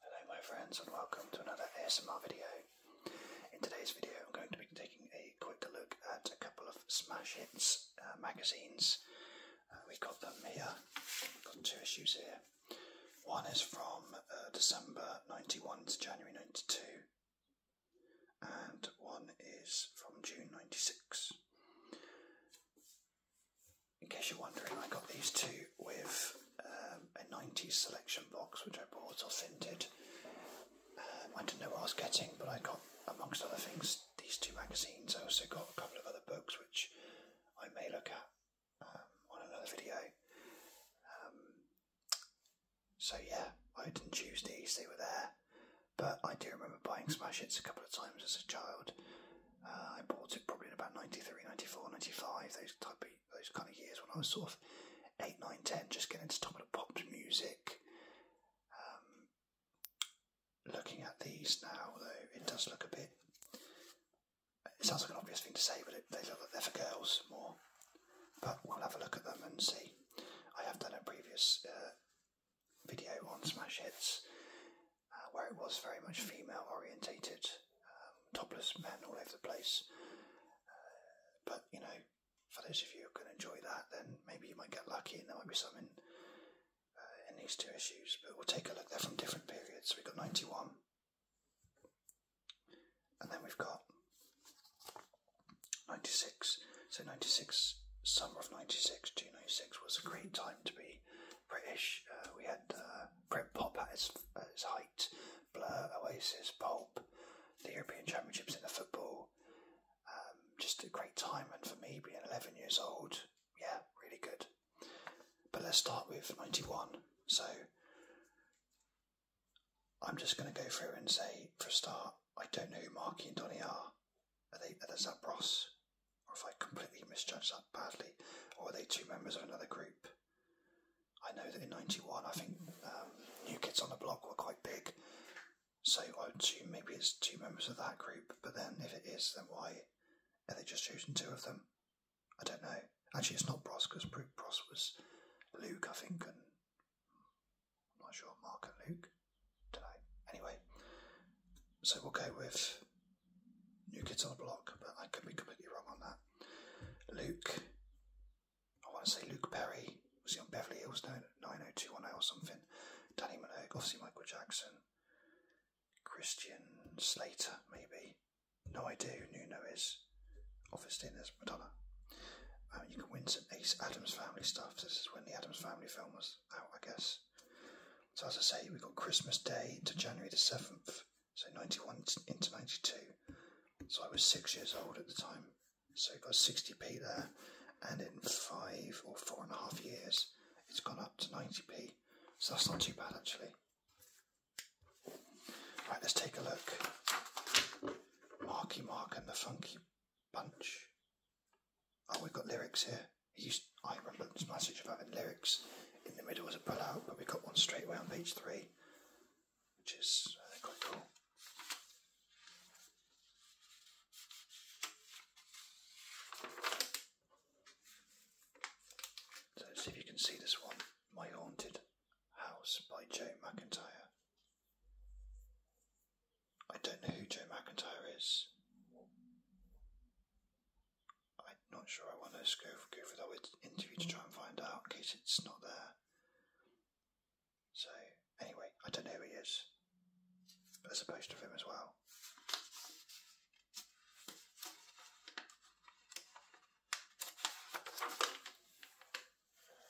Hello my friends and welcome to another ASMR video. In today's video I'm going to be taking a quick look at a couple of smash hits uh, magazines. Uh, we've got them here, got two issues here. One is from uh, December 91 to January 92 and one is from June 96 in case you're wondering, I got these two with um, a 90s selection box which I bought or scented. Um, I didn't know what I was getting, but I got, amongst other things, these two magazines. I also got a couple of other books which I may look at um, on another video. Um, so, yeah, I didn't choose these, they were there. But I do remember buying Smash Hits a couple of times as a child, uh, I bought it probably in about 93, 94, 95, those type of, those kind of years when I was sort of 8, 9, 10, just getting into top of the pops music. Um, looking at these now, though, it does look a bit. It sounds like an obvious thing to say, but they look like they're for girls more. But we'll have a look at them and see. I have done a previous uh, video on Smash Hits uh, where it was very much female orientated, um, topless men all over the place. Uh, but you know, for those of you who can enjoy that, then maybe you might get lucky, and there might be something uh, in, these two issues. But we'll take a look. They're from different periods. We've got ninety one, and then we've got ninety six. So ninety six summer of 96 to 96 was a great time to be British. Uh, we had Britpop uh, at its, height, Blur, Oasis, Pulp, the European Championships in the football. Um, just a great time, and for me, being 11 years old, yeah, really good. But let's start with 91. So I'm just going to go through and say, for a start, I don't know who Marky and Donny are. Are they are the Zabros? Or if I completely misjudged that badly? Or are they two members of another group? I know that in '91, I think um, New Kids on the Block were quite big, so I would assume maybe it's two members of that group. But then, if it is, then why are they just choosing two of them? I don't know. Actually, it's not Bros because Bros was Luke, I think, and I'm not sure Mark and Luke. do Anyway, so we'll go with New Kids on the Block, but I could be completely wrong on that. Luke, I want to say Luke Perry, was he on Beverly Hills now. 90210 or something? Danny Minogue, obviously Michael Jackson, Christian Slater, maybe. No idea who Nuno is. Obviously, there's Madonna. Um, you can win some Ace Adams Family stuff. This is when the Adams Family film was out, I guess. So, as I say, we've got Christmas Day to January the 7th, so 91 into 92. So I was six years old at the time. So got 60p there. And in five or four and a half years, it's gone up to 90p. So that's not too bad actually. Right, let's take a look. Marky Mark and the Funky Bunch. Oh, we've got lyrics here. He's I remember this message about having lyrics. In the middle was a pull-out, but we got one straight away on page three, which is I uh, think, quite cool. So see if you can see this one, My Haunted House by Joe McIntyre. I don't know who Joe McIntyre is. I'm not sure I want to go, go for that interview to try and find out in case it's not there. So, anyway, I don't know who he is, but there's a poster of him as well.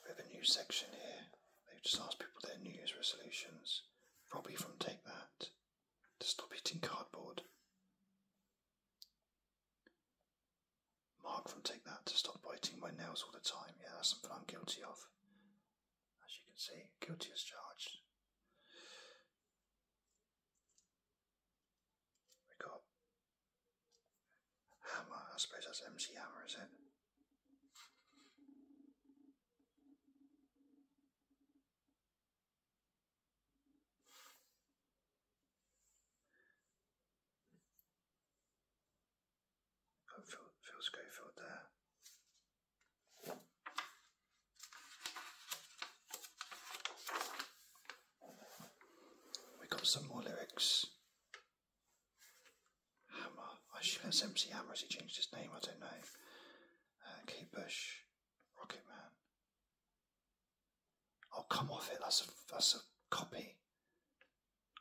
We have a new section here. They've just asked people their New Year's resolutions, probably from Take That, to stop eating cardboard. Mark from Take That to stop biting my nails all the time. Yeah, that's something I'm guilty of. As you can see, guilty as charged. We got Hammer. I suppose that's MC Hammer, is it? Put Phil, Phil Schofield there. We got some more lyrics. Hammer. I assume that's MC Hammer. Has he changed his name? I don't know. Uh, Bush. Rocket Man. I'll oh, come off it. That's a, copy.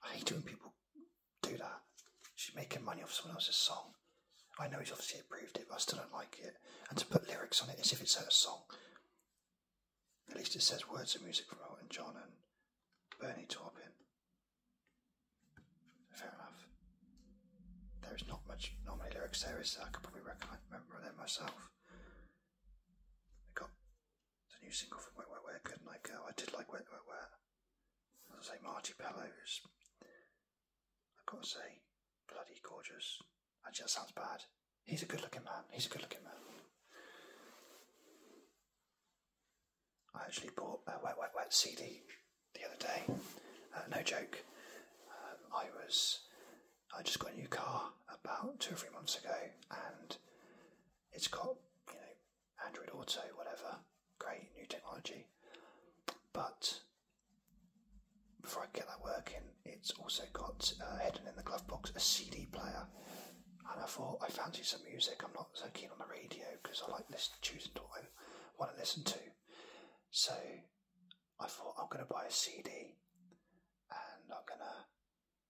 I hate it when people do that. She's making money off someone else's song. I know he's obviously approved it, but I still don't like it. And to put lyrics on it as if it's her song. At least it says words of music from Elton John and Bernie Taupin. Fair enough. There is not much, normally lyrics there, so I could probably recommend, remember them myself. I got the new single from Wet Wet Wet, Good Night Girl. I did like Wet Wet Wet. As I say, Marty Pello I've got to say, bloody gorgeous. Actually, that sounds bad. He's a good looking man. He's a good looking man. I actually bought a Wet Wet Wet CD the other day. Uh, no joke. Um, I was I just got a new car about two or three months ago, and it's got you know Android Auto, whatever, great new technology. But before I get that working, it's also got uh, hidden in the glove box a CD player. And I thought I fancy some music. I'm not so keen on the radio because I like listen, choosing to what um, I want to listen to. So I thought I'm going to buy a CD and I'm going to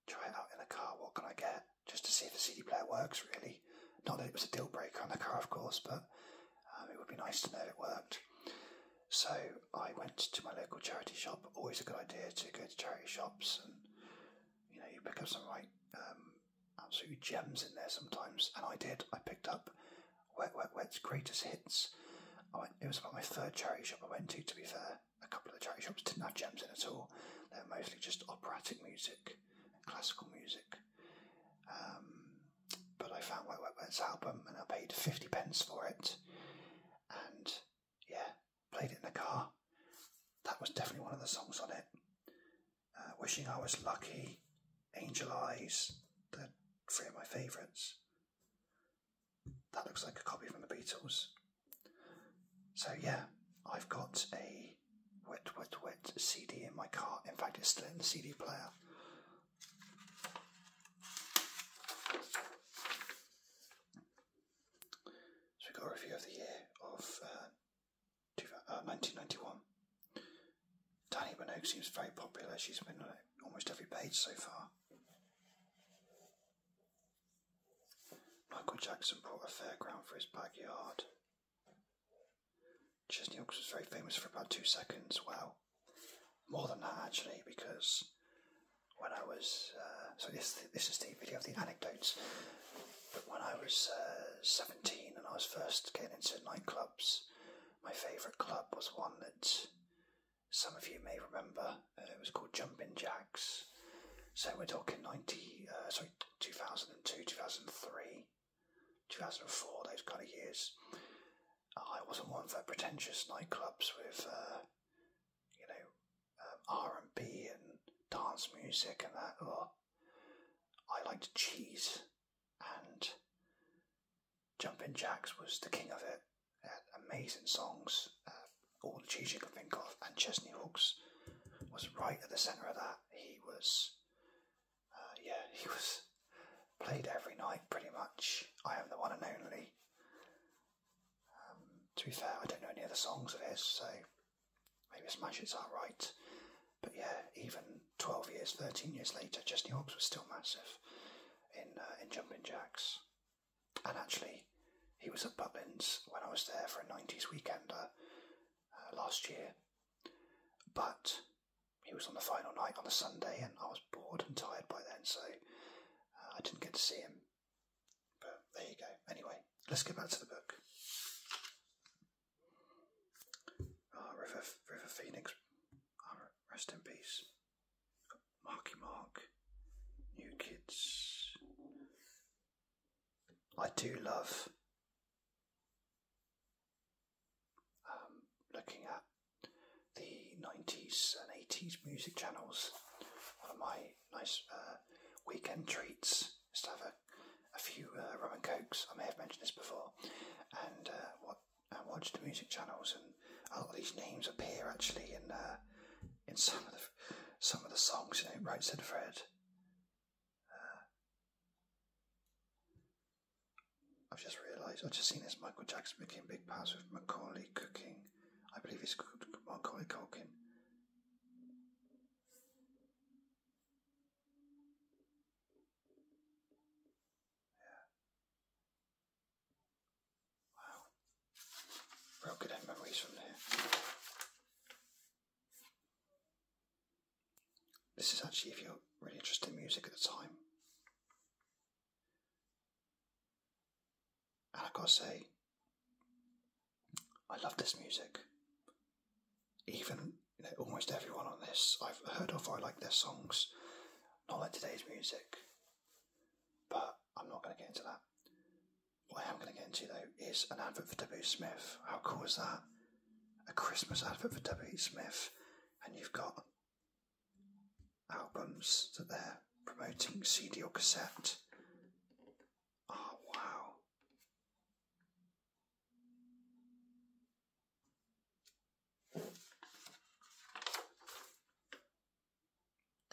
try it out in the car, what can I get? Just to see if the CD player works, really. Not that it was a deal breaker on the car, of course, but um, it would be nice to know it worked. So I went to my local charity shop. Always a good idea to go to charity shops and you know you pick up some right um, absolute gems in there sometimes. And I did. I picked up Wet Wet Wet's Greatest Hits. it was about my third charity shop I went to, to be fair a couple of the charity shops didn't have gems in at all. They were mostly just operatic music and classical music. Um, but I found Wet Wet album and I paid 50 pence for it. And yeah, played it in the car. That was definitely one of the songs on it. Uh, Wishing I Was Lucky, Angel Eyes, they three of my favourites. That looks like a copy from the Beatles. So yeah, I've got a wet, wet, wet CD in my car. In fact, it's still in the CD player. So we got a review of the year of uh, 1991. Uh, Danny Minogue seems very popular. She's been on almost every page so far. Michael Jackson brought a fairground for his backyard. Chesney Hawks was very famous for about two seconds. Well, more than that actually, because when I was uh, so this this is the video of the anecdotes. But when I was uh, seventeen and I was first getting into nightclubs, my favourite club was one that some of you may remember. Uh, it was called Jumping Jacks. So we're talking 90, uh, sorry, 2002, 2003, 2004, those kind of years. I wasn't one for pretentious nightclubs with, uh, you know, um, R&B and dance music and that. Or I liked cheese and Jumping Jacks was the king of it amazing songs, uh, all the tunes you can think of, and Chesney Hawkes was right at the centre of that. He was, uh, yeah, he was played every night pretty much. I am the one and only. Um, to be fair, I don't know any other songs of his, so maybe Smash It's alright. But yeah, even 12 years, 13 years later, Chesney Hawkes was still massive in, uh, in Jumping Jacks. And actually, he was at Butlins when I was there for a 90s weekend uh, last year. But he was on the final night on the Sunday, and I was bored and tired by then, so uh, I didn't get to see him. But there you go. Anyway, let's get back to the book. Ah, River, River Phoenix. Ah, rest in peace. Marky Mark, New Kids. I do love um, looking at the 90s and 80s music channels. One of my nice uh, weekend treats is to have a, few uh, rum and cokes. I may have mentioned this before, and uh, what and watch the music channels. And a lot of these names appear actually in uh, in some of the some of the songs, you know, right said Fred. Uh, I've just realised I've just seen this Michael Jackson making big pass with Macaulay cooking. I believe he's called Macaulay Culkin. Wow. Real memories from there. This is actually if you're really interested in music at the time. And I gotta say, I love this music. Even almost everyone on this I've heard of, I like their songs, not like today's music. But I'm not going to get into that. What I am going to get into though is an advert for W. Smith. How cool is that? A Christmas advert for W. Smith, and you've got albums that they're promoting, CD or cassette. Oh wow!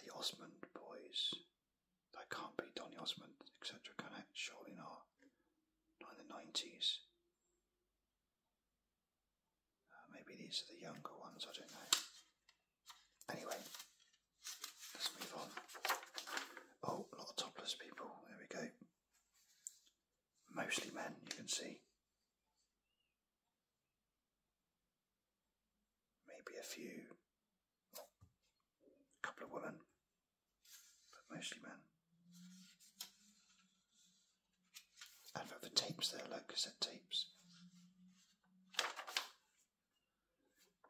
the Osmond boys. That can't be Donny Osmond, etc., can it? Surely not. Not in the 90s. Uh, maybe these are the younger ones, I don't know. Anyway, let's move on. Oh, a lot of topless people, there we go. Mostly men, you can see. Maybe a few a couple of women, but mostly men. And for the tapes there, like cassette tapes.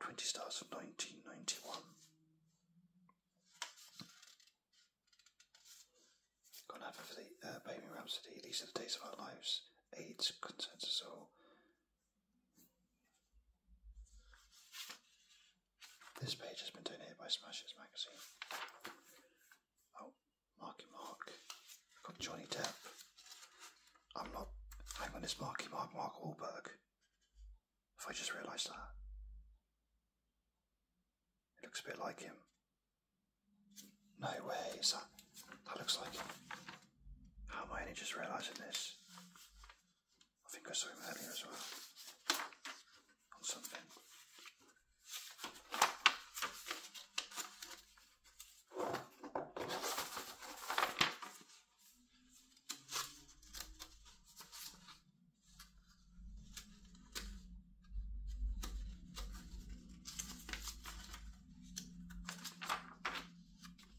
20 stars from 1991. Gone over for the uh, Baby Rhapsody, These Are the Days of Our Lives, AIDS, Concerns Us All, this page has been donated by Smashers magazine. Oh, Marky Mark. i got Johnny Depp. I'm not. Hang on, it's Marky Mark Mark Wahlberg. If I just realised that. It looks a bit like him. No way, is that. looks like him. How am I only just realising this? I think I saw him earlier as well. On something.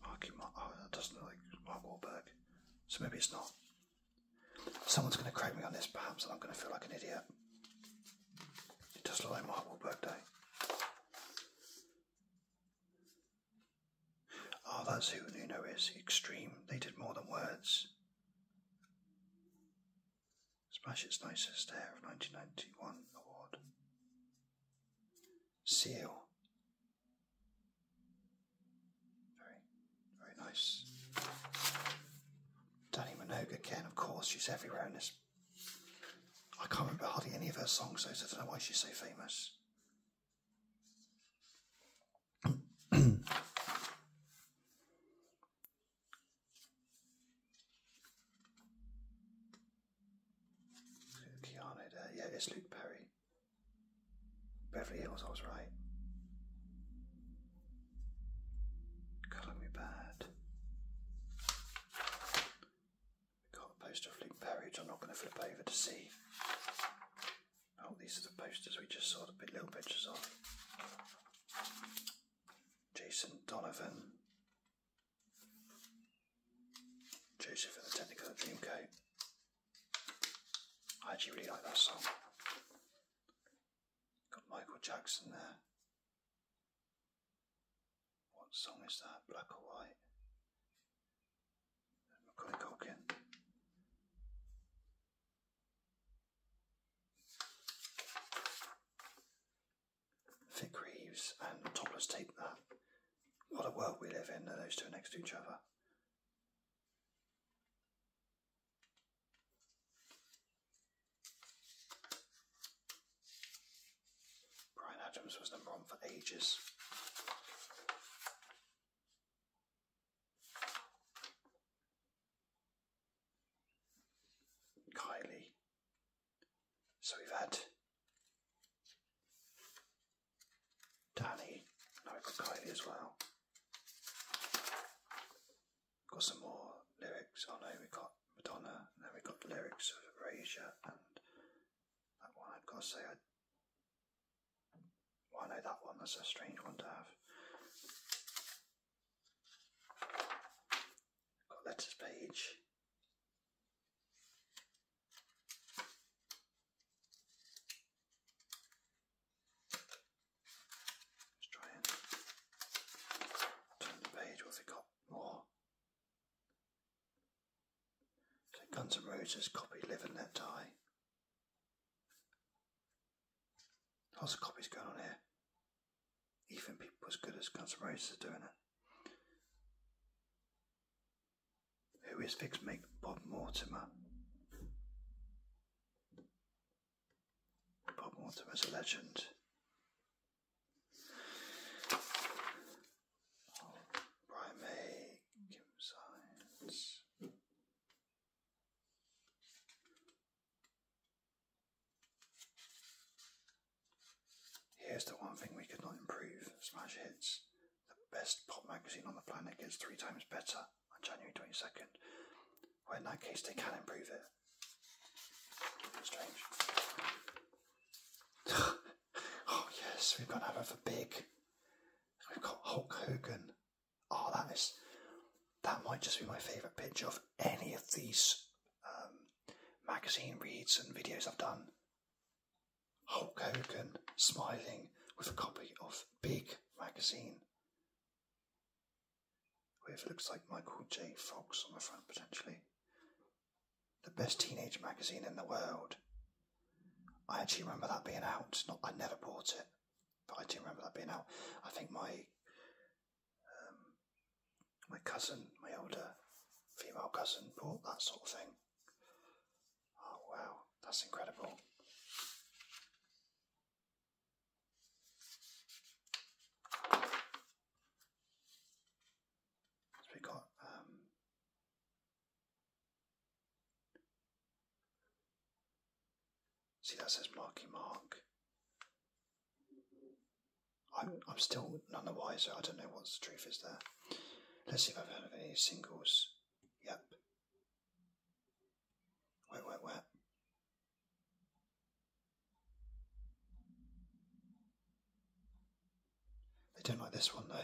Marky Mark. Oh, that doesn't look like Mark Wahlberg. So maybe it's not. Someone's going to correct me on this, perhaps, and I'm going to feel like an idiot. It does look like Mark Wahlberg Day. Oh, that's who Nuno is. Extreme. They did more than words. Smash its nicest hair of 1991 award. See you. Very, very nice. Danny Minogue again, of course, she's everywhere in this. I can't remember hardly any of her songs, so I don't know why she's so famous. Keanu uh, Yeah, it's Luke Perry. Beverly Hills, I was right. Colour me bad. we got a poster of Luke Perry, I'm not going to flip over to see. Oh, these are the posters we just saw, the little pictures of. Jason Donovan. Joseph and the Technicolor Dreamcoat. I actually really like that song. Got Michael Jackson there. What song is that? Black or White? Macaulay Culkin. Vic Reeves and Topless Tape what a world we live in, that those two are next to each other. Brian Adams was number one for ages. Kylie. So we've had Danny, we've got Kylie as well. Got some more lyrics. I oh, know we have got Madonna, and then we have got lyrics of Erasure, and that one I've got to say, I. I know that one, that's a strange one to have. Got Letters Page. Let's try and turn the page. What have got more? So Guns N' Roses copy Live and Let Die. Lots of copies going on here. Even people as good as Guns N' Roses are doing it. Who is Vic's mate, Bob Mortimer? Bob Mortimer is a legend. Oh, Brian Here's the one thing we could not improve smash hits. The best pop magazine on the planet gets three times better on January 22nd. Well, in that case, they can improve it. Strange. oh, yes, we've got another for Big. We've got Hulk Hogan. Oh, that is. That might just be my favourite picture of any of these um, magazine reads and videos I've done. Hulk Hogan smiling with a copy of Big magazine. With looks like Michael J. Fox on the front potentially. The best teenage magazine in the world. I actually remember that being out. Not I never bought it, but I do remember that being out. I think my um, my cousin, my older female cousin, bought that sort of thing. Oh, wow, that's incredible. we got um, see that says Marky Mark. I'm I'm still none the wiser. I don't know what the truth is there. Let's see if I've heard of any singles. Yep. Wait, wait, wait. They don't like this one though.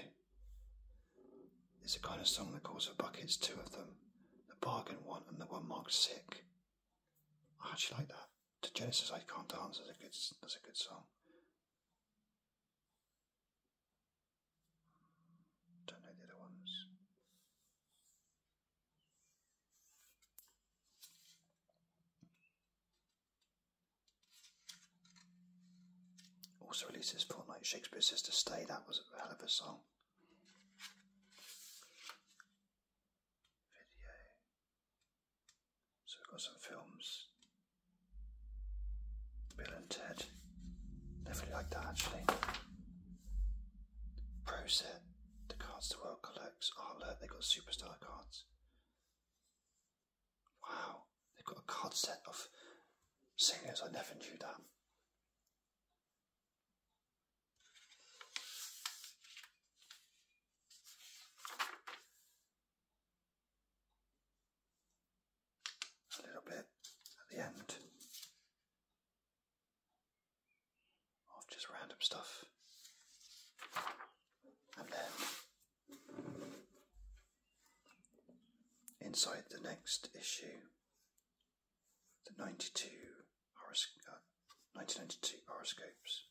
It's a kind of song that calls for buckets, two of them. The bargain one and the one marked sick. I actually like that. To Genesis I can't dance, that's a good that's a good song. Don't know the other ones. Also releases fortnight, Shakespeare's sister to Stay. That was a hell of a song. So we've got some films Bill and Ted. Never really liked that actually. Pro set. The cards the world collects. Oh look, they got superstar cards. Wow, they've got a card set of singers. I never knew that a little bit at the end of just random stuff. And then inside the next issue, the 92 horosc- 1992 uh, horoscopes.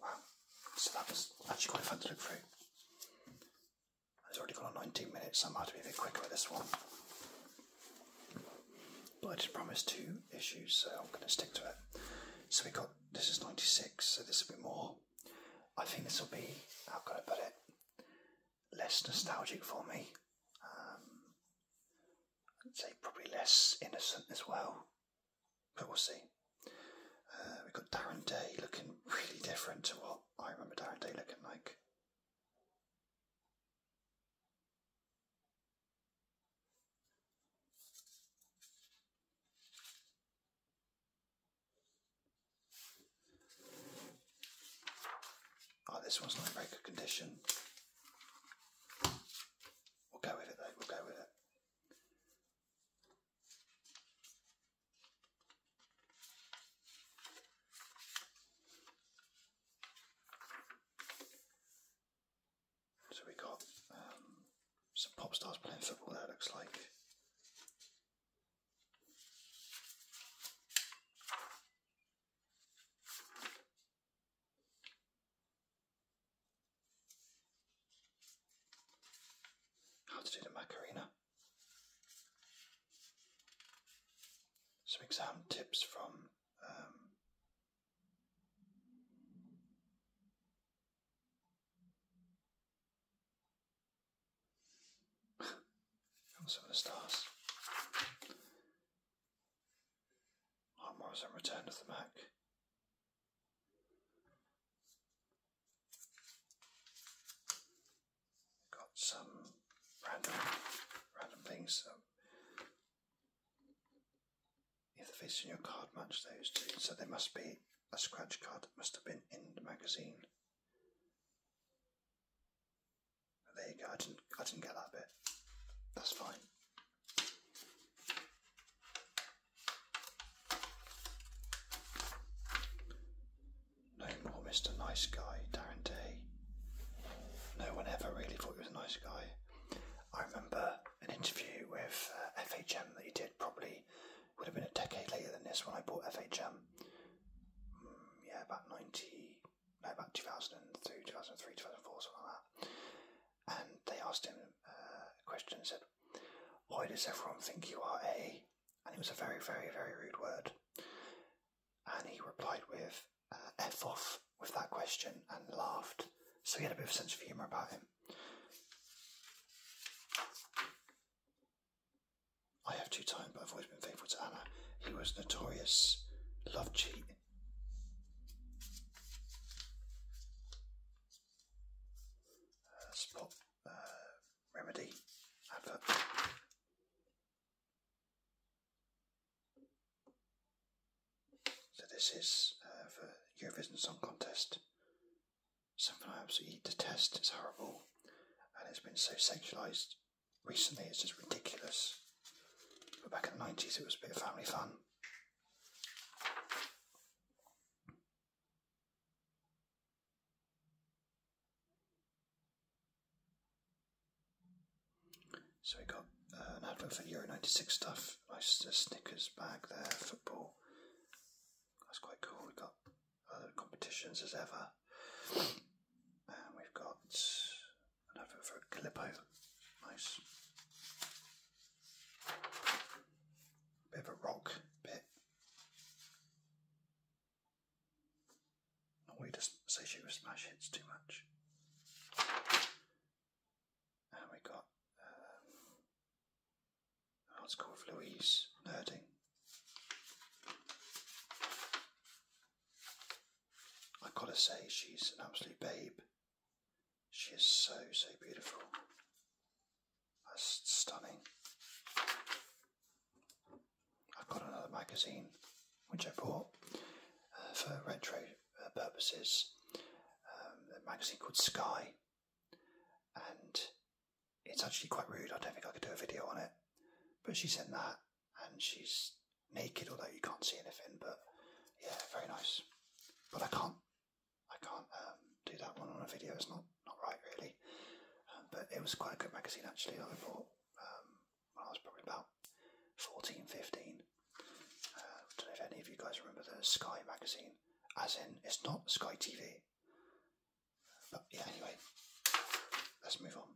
Wow, so that was actually quite fun to look through. I've already got on 19 minutes, so I might have to be a bit quicker with this one. But I did promise two issues, so I'm going to stick to it. So we got this is 96, so this will be more. I think this will be, how can I put it, less nostalgic for me. Um, I'd say probably less innocent as well but we'll see. Uh, we've got Darren Day looking really different to what I remember Darren Day looking like. Oh, this one's not in very good condition. We'll go with it though, we'll go with it. So we got um, some pop stars playing football there, looks like. How to do the Macarena. Some exam tips from um, some of the stars. Armours and Return of the Mac. Got some random random things. if the face on your card matches those two, so there must be a scratch card that must have been in the magazine. There you go. I didn't. I didn't get that bit. That's fine. No more Mr. Nice Guy, Darren Day. No one ever really thought he was a nice guy. I remember an interview with uh, FHM that he did, probably would have been a decade later than this when I bought FHM. Mm, yeah, about 90, no, about 2002, 2003, 2004, something like that and they asked him uh, a question and said, Why does everyone think you are a? And it was a very, very, very rude word. And he replied with, uh, F off with that question and laughed. So he had a bit of sense of humour about him. I have two times, but I've always been faithful to Anna. He was notorious love cheat. Uh, spot, uh, Remedy, Abbott. Uh, so this is uh, for Eurovision Song Contest. Something I absolutely detest. It's horrible, and it's been so sexualized recently. It's just ridiculous. But back in the nineties, it was a bit of family fun. So we got uh, an advert for Euro 96 stuff, nice sneakers bag there, football. That's quite cool. We've got other competitions as ever. And we've got an advert for a Calippo. Nice. Bit of a rock bit. Not we just say she was smash hits too much. And we got um, an Louise Nerding. i got to say, she's an absolute babe. She is so, so beautiful. That's stunning. I've got another magazine which I bought uh, for retro uh, purposes. Um, a magazine called Sky, and it's actually quite rude. I don't think I could do a video on it, but she's in that, and she's naked, although you can't see anything. But yeah, very nice. But I can't I can't um, do that one on a video. It's not not right really. Um, but it was quite a good magazine actually. I bought um, when I was probably about 14, 15. Uh, I don't know if any of you guys remember the Sky magazine, as in it's not Sky TV. But yeah, anyway, let's move on.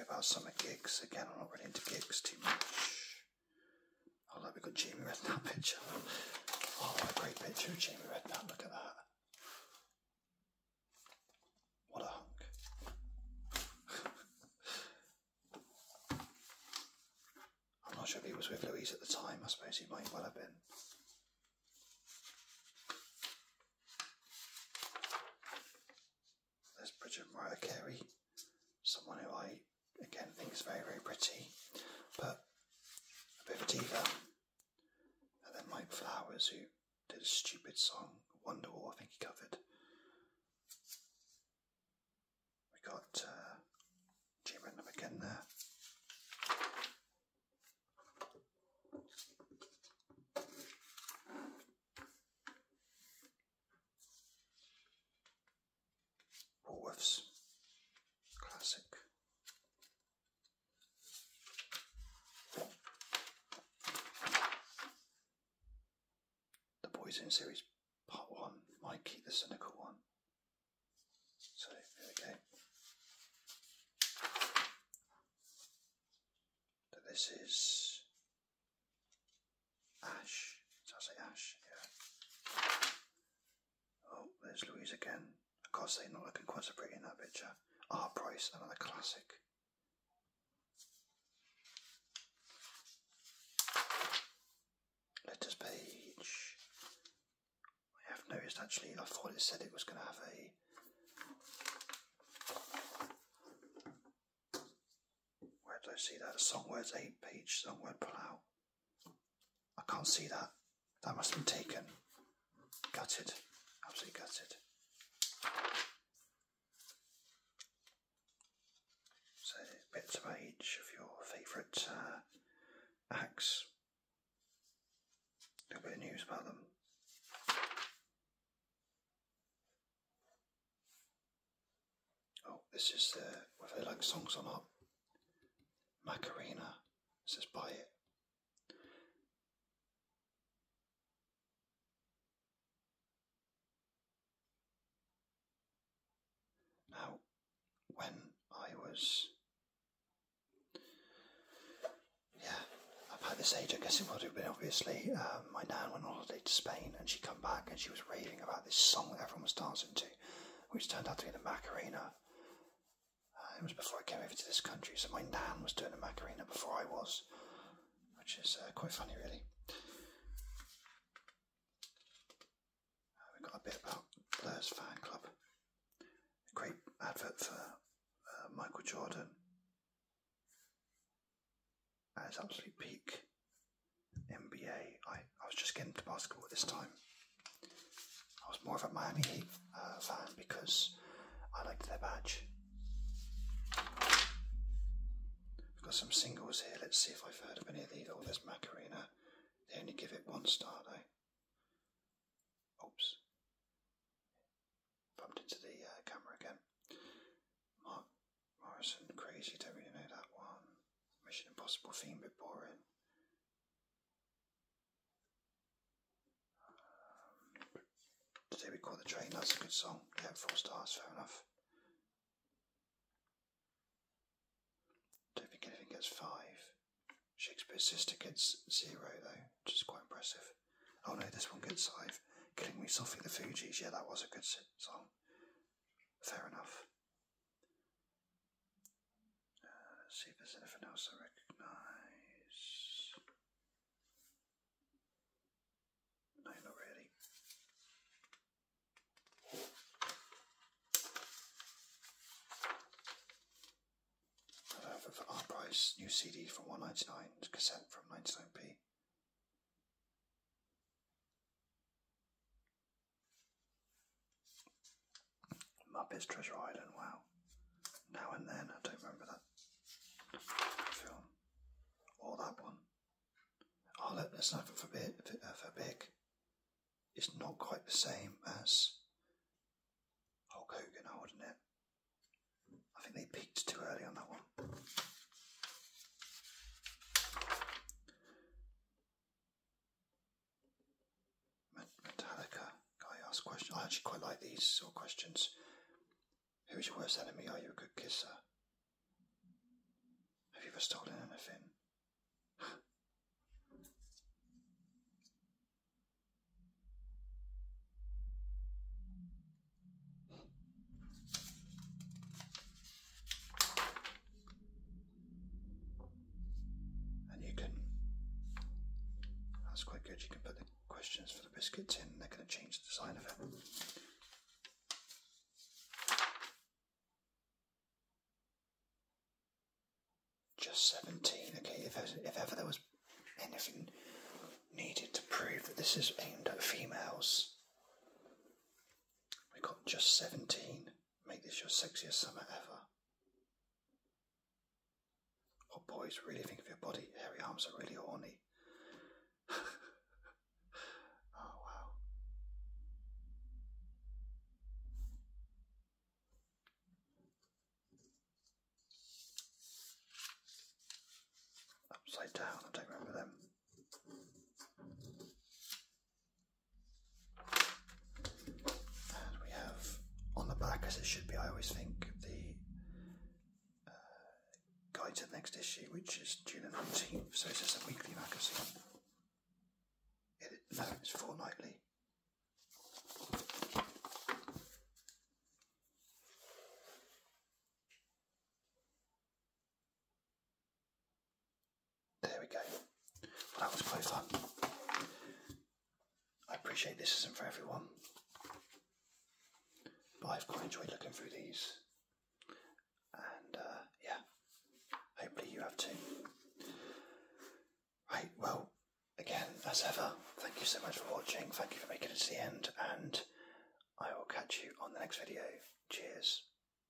About summer gigs again. I'm not really into gigs too much. I oh, like we got Jamie Redknapp picture. Oh, great picture of Jamie Redknapp, look at that. What a hunk. I'm not sure if he was with Louise at the time, I suppose he might well have been. There's Bridget Mariah Carey, someone who I again think is very, very pretty, but a bit of a diva. And then Mike Flowers, who did a stupid song, Wonderwall, I think he covered. We got uh, Jim G. Random again there. Woolworths, classic. The Boys in Series Part 1, Mikey the Cynical One. So, here we go. So this is Ash. Did I say Ash? Yeah. Oh, there's Louise again. Of course, they're not looking quite so pretty in that picture. Ah, Price, another classic. Letters page. I have noticed actually, I thought it said it was going to have a where do I see that? Song words 8 page, song Songword out. I can't see that. That must have been taken. Gutted. Absolutely gutted. So, bits about each of your favourite uh, acts. A little bit of news about them. Oh, this is whether they like songs or not. Macarena it says buy it. Now, when I was, yeah, about this age, I guess it would have been obviously uh, my nan went on to Spain, and she come back and she was raving about this song that everyone was dancing to, which turned out to be the Macarena. Uh, it was before I came over to this country, so my nan was doing the Macarena before I was, which is uh, quite funny, really. Uh, we got a bit about Blur's fan club. great advert for Michael Jordan. As its absolute peak. NBA. I, I was just getting to basketball at this time. I was more of a Miami Heat uh, fan because I liked their badge. We've got some singles here. Let's see if I've heard of any of these. Oh, there's Macarena. They only give it one star, though. Oops. Bumped into the uh, camera again. Mark Morrison, oh, crazy, don't really know that one. Mission Impossible theme, bit boring. Um, today we caught the train, that's a good song. Yeah, four stars, fair enough. Don't think anything gets five. Shakespeare's sister gets zero though, which is quite impressive. Oh no, this one gets five. Killing Me Softly the Fugees, yeah, that was a good song. Fair enough. Uh, see if there's anything else I recognise. No, not really. However, for our price, new CD for 199, cassette from 99p. Muppets Treasure Island, wow. Now and then, I don't remember that film. Or that one. Oh, look, there's nothing for big, for uh, big. It's not quite the same as Hulk Hogan, I not it? I think they peaked too early on that one. Metallica guy asked question. I actually quite like these sort of questions. Who is your worst enemy? Are you a good kisser? Have you ever stolen anything? And you can, that's quite good, you can put the questions for the biscuits in, they're going to change the design of it. Just 17, okay, if, if ever there was anything needed to prove that this is aimed at females, we got just 17. Make this your sexiest summer ever. What oh, boys really think of your body? Hairy arms are really horny. oh wow. Upside down, I don't remember them. And we have on the back, as it should be, I always think, the uh, guide to the next issue, which is June 19th, so it's just a weekly magazine. no, it's fortnightly. There we go. that was quite fun. I appreciate this isn't for everyone, but I've quite enjoyed looking through these. And uh, yeah, hopefully you have too. Right, well, again, as ever, thank you so much for watching. Thank you for making it to the end, and I will catch you on the next video. Cheers.